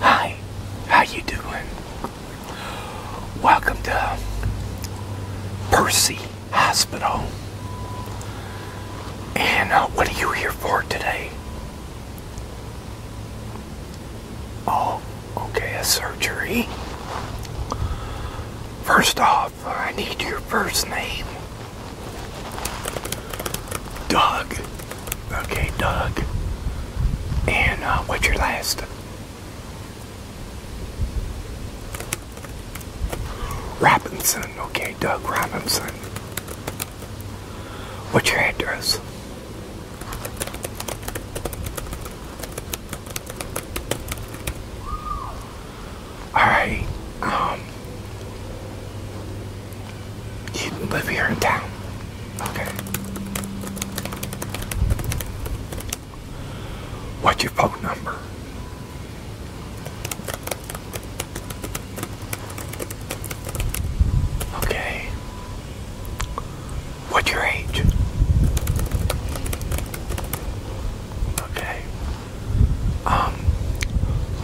Hi, how you doing? Welcome to Percy Hospital. And uh, what are you here for today? Oh, okay, a surgery. First off, I need your first name. Doug. Okay, Doug. And uh, what's your last? Robinson. Okay, Doug Robinson. What's your address? I um you live here in town. Okay. What's your phone number? Okay. What's your age? Okay. Um,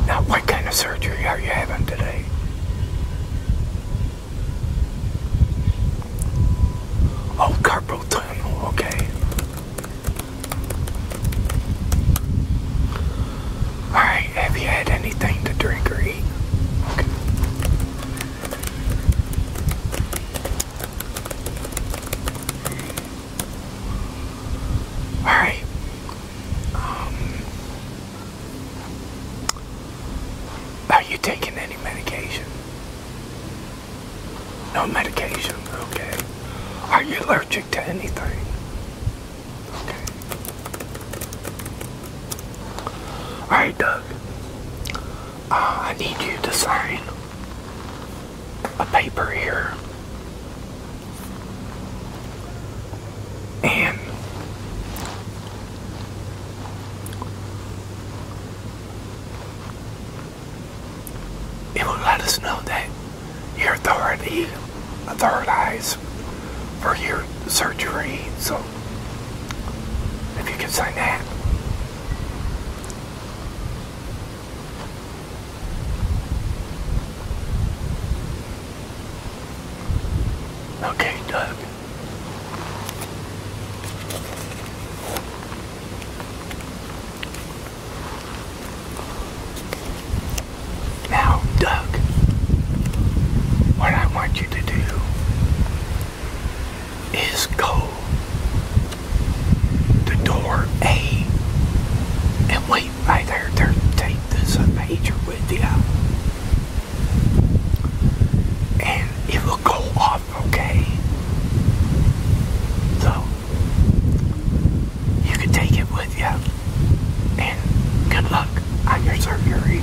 now what kind of surgery are you having today? Oh, carpal tunnel, okay. Alright, have you had anything to drink or eat? Alright. Um, are you taking any medication? No medication, okay. Are you allergic to anything? Okay. Alright, Doug. Uh, I need you to sign a paper here. And it will let us know that your authority, authorizes for your surgery. So if you can sign that. Okay, Doug. Now, Doug, what I want you to do is go the door A and wait right there. There, take this a major with you. And it will go off okay. So, you can take it with you. And good luck on your surgery.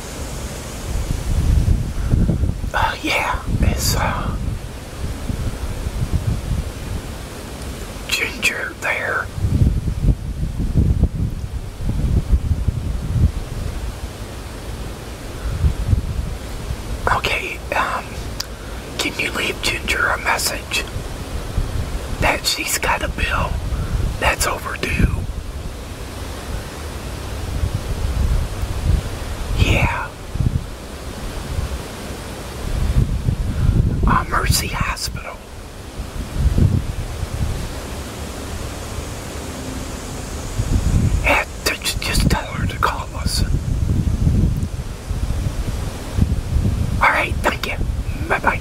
uh, yeah, it's uh, ginger there. Okay, um, can you leave Ginger a message that she's got a bill that's overdue? Yeah. Mercy Hospital. Yeah, just tell her to call us. Alright, thank you. Bye-bye.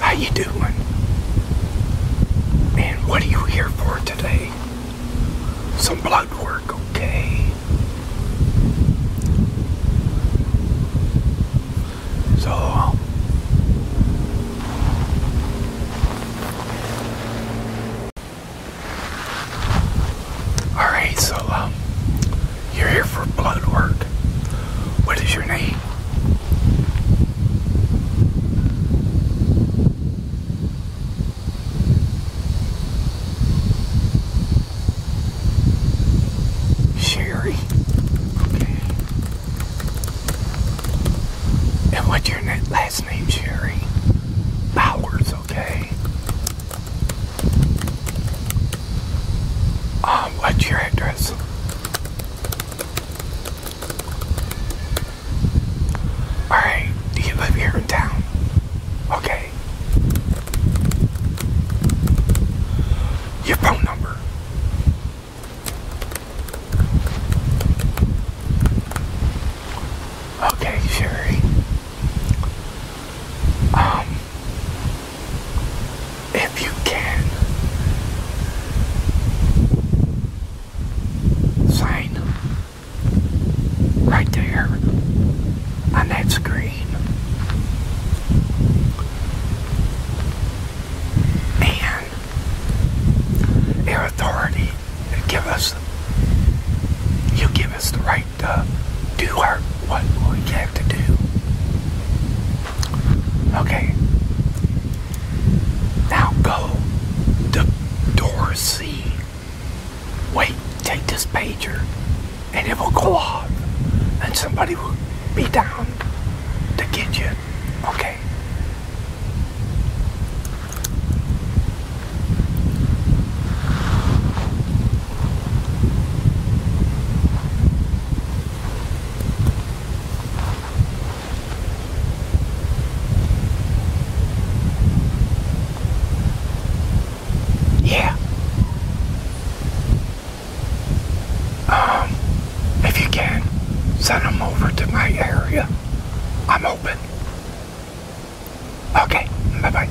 how you doing? man? what are you here for today? Some blood work, okay? So, all right. So, um, you're here for blood work. What is your name? Sherry. Okay. And what's your last name, Sherry? Powers? okay. Um, what's your address? Alright, do you live here in town? Okay. Your phone number. Okay, Sherry. Um, if you can. Sign right there on that screen. And your authority give us, you give us the right to do our, what we have to do. Okay. Now go to door C. Wait, take this pager and it will go off and somebody will be down to get you. Okay. Yeah. Um, if you can, send them over to my area. I'm open. Okay, bye-bye.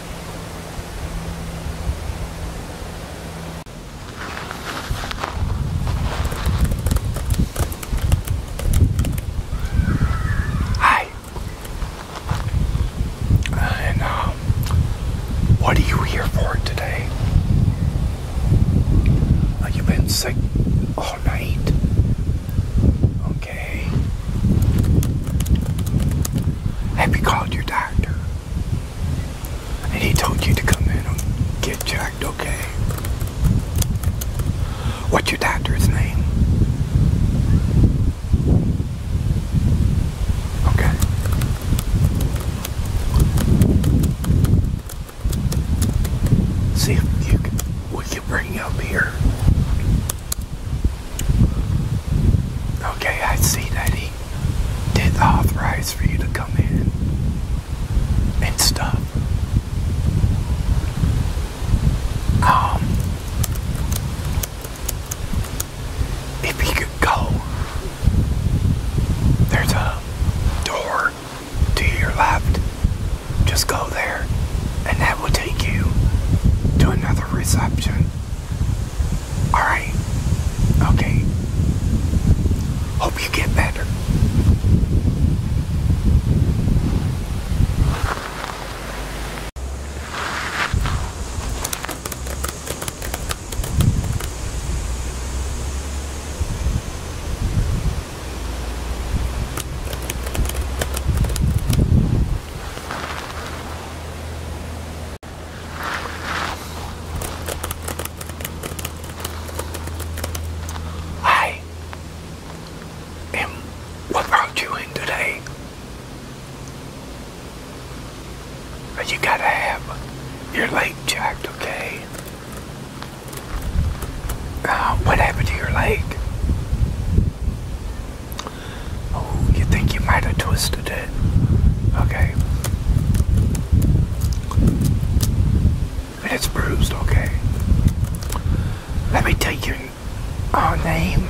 Hi. And um, what are you here for today? Uh, you've been sick all night okay? Have called your doctor? And he told you to come in and get checked, okay? What's your doctor's name? Okay. See if you can, we can bring up here. Okay, I see that he did authorize for you to come in and stuff. Um, if you go, there's a door to your left. Just go there, and that will take you to another reception Alright. Okay. Hope you get better. Hi, and what brought you in today? But you gotta have your leg checked, okay? Uh, what happened to your leg? Oh, you think you might have twisted it? Okay. And it's bruised, okay. Let me take your name.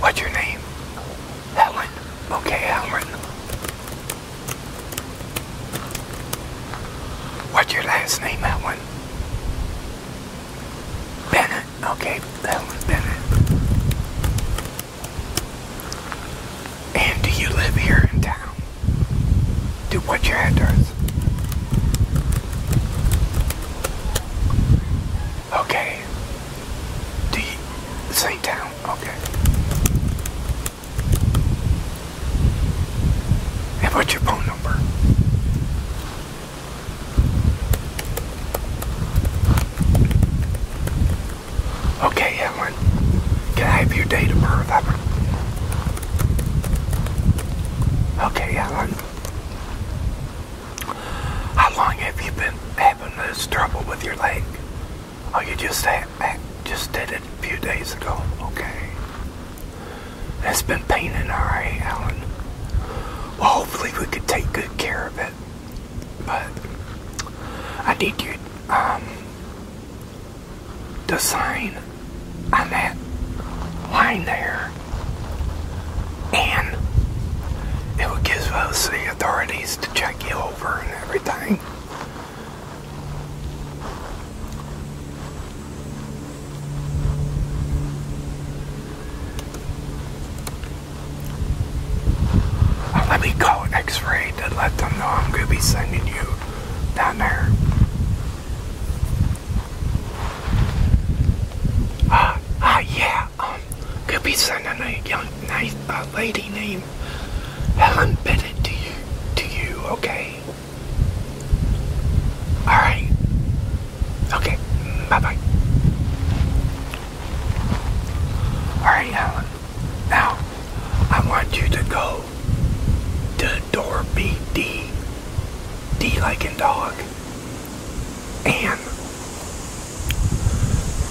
What's your name? Helen. Okay, Helen. What's your last name, Helen? Bennett. Okay, that was Bennett. And do you live here in town? Do what's your address? Okay. Do you same town? Okay. And what's your phone number? Okay, Alan. can I have your date of birth? Okay, Evelyn. How long have you been having this trouble with your leg? Oh, you just had, just did it a few days ago. Okay. It's been paining, all right, Alan. Well, hopefully we could take good care of it. But I did get um, the sign on that line there, and it will give us the authorities to check you over and everything let me call X-Ray to let them know I'm going to be sending you down there. Ah, ah, yeah. Um, could be sending a young, nice lady named Helen Bennett to you. To you, okay. All right. Okay, bye bye. Alright, Alan. Now, I want you to go to door B D. D like in dog. And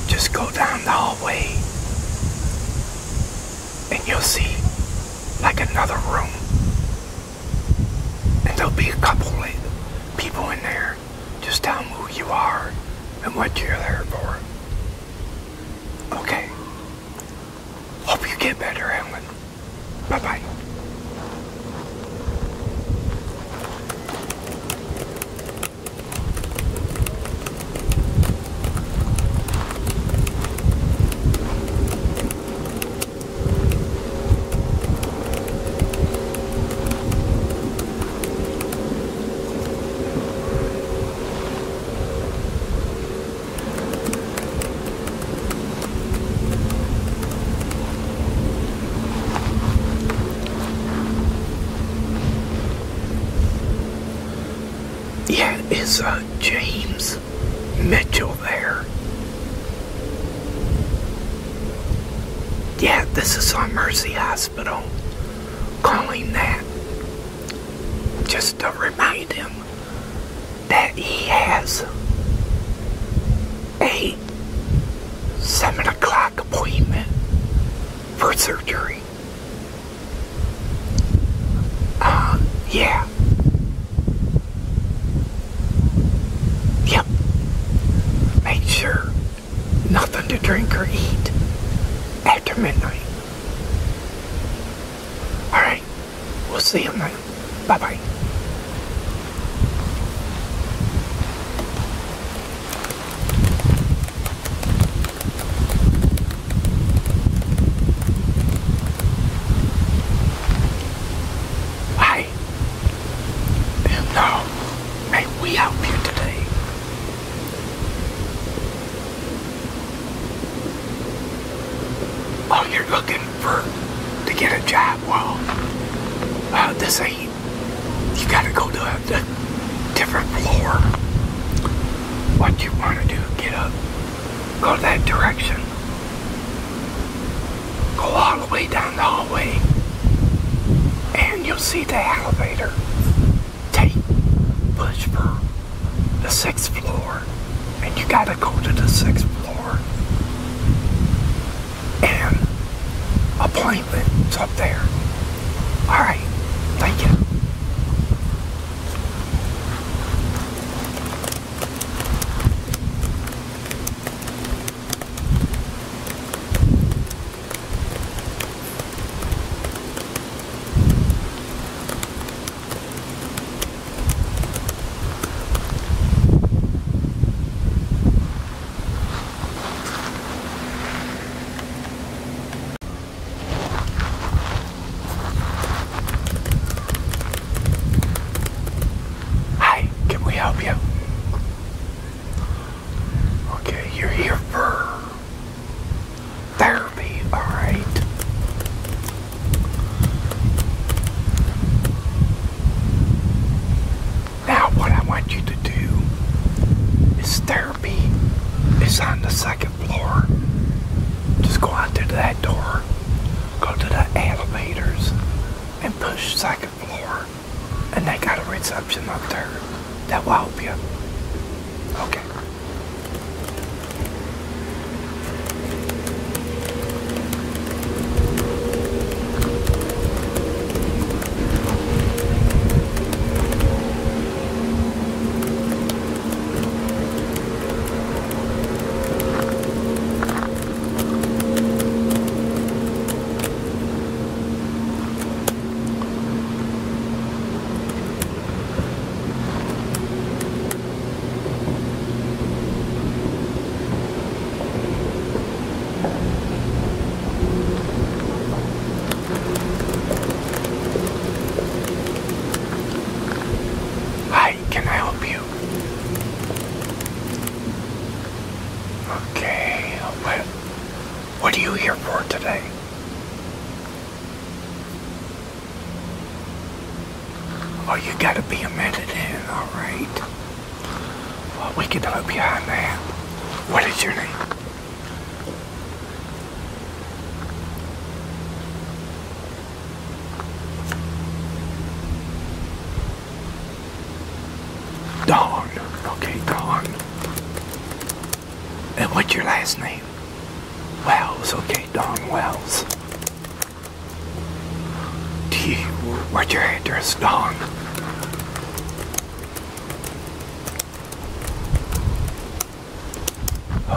just go down the hallway and you'll see like another room and there'll be a couple of people in there. Just tell them who you are and what you're there for. Okay. Hope you get better, Ellen. Bye-bye. Yeah, it's uh, James Mitchell there. Yeah, this is on Mercy Hospital. Calling that just to remind him that he has a 7 o'clock appointment for surgery. Uh, yeah. Yep. Make sure nothing to drink or eat after midnight. Alright, we'll see you then. Bye bye. Hey, them we out here today. Oh, you're looking for to get a job? Well, uh, this ain't. You gotta go to a different floor. What you want to do? Get up, go that direction go all the way down the hallway and you'll see the elevator take push for the sixth floor and you gotta go to the sixth floor and appointments up there all right thank you Hi, can we help you? Okay, you're here for therapy, alright? Now, what I want you to do is therapy is on the second floor. Just go out through that door, go to the elevators, and push second floor and they got a reception up there that will help you. Okay. Hi, can I help you? Okay, what, what are you here for today? Oh, you gotta be a minute in, alright. Well, we can help you on that. What is your name? Dawn. Okay, Dawn. And what's your last name? Wells. Okay, Dawn Wells. Do you, what's your address, Dawn?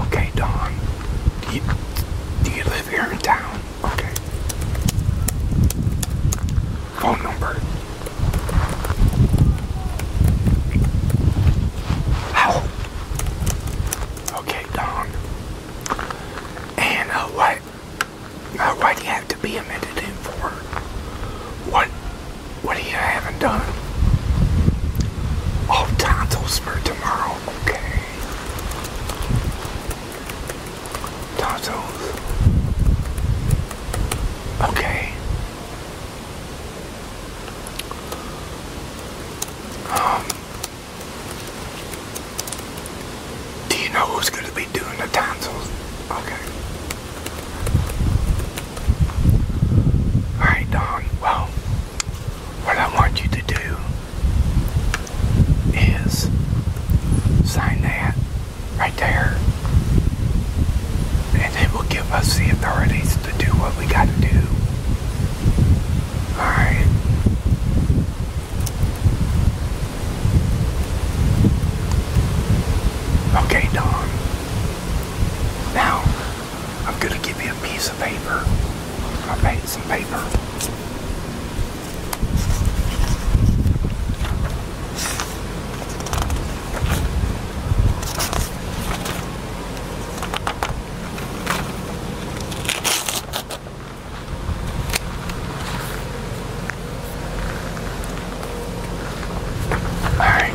Okay, Dawn. Do you, do you live here in town? Okay. Phone number. How? Okay, Don. And uh, what? Uh, why do you have to be admitted in for? What? What do you have done? Oh, tonsils for tomorrow. Okay tonsils. Okay. Um, do you know who's going to be doing the tonsils? Okay. Alright, Don. Well, what I want you to do is sign that right there. And it will give us the authorities to do what we got to do. Alright. Okay, Don. Now, I'm going to give you a piece of paper. I'll paint paper. Alright,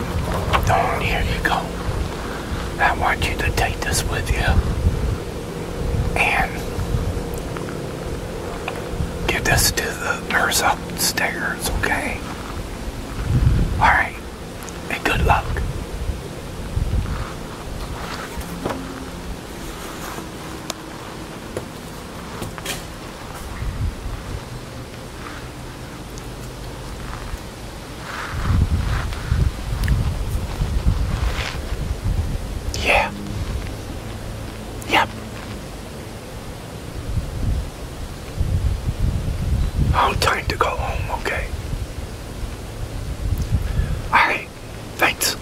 Dawn, here you go. I want you to take this with you. And Give this to the nurse upstairs, okay? Alright, and good luck. Yeah. Yep. Oh, time to go home, okay? Alright, thanks.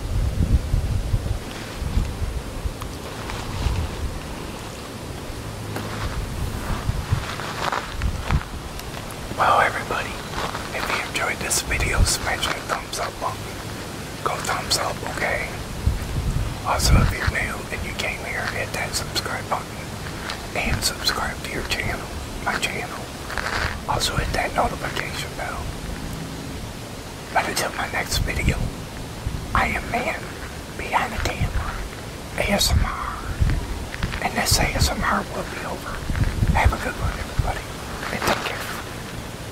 Well, everybody, if you enjoyed this video, smash that thumbs up go thumbs up, okay? Also, if you're new and you came here, hit that subscribe button and subscribe to your channel, my channel. Also, hit that notification bell. But until my next video, I am man behind the camera, ASMR, and this ASMR will be over. Have a good one, everybody, and take care.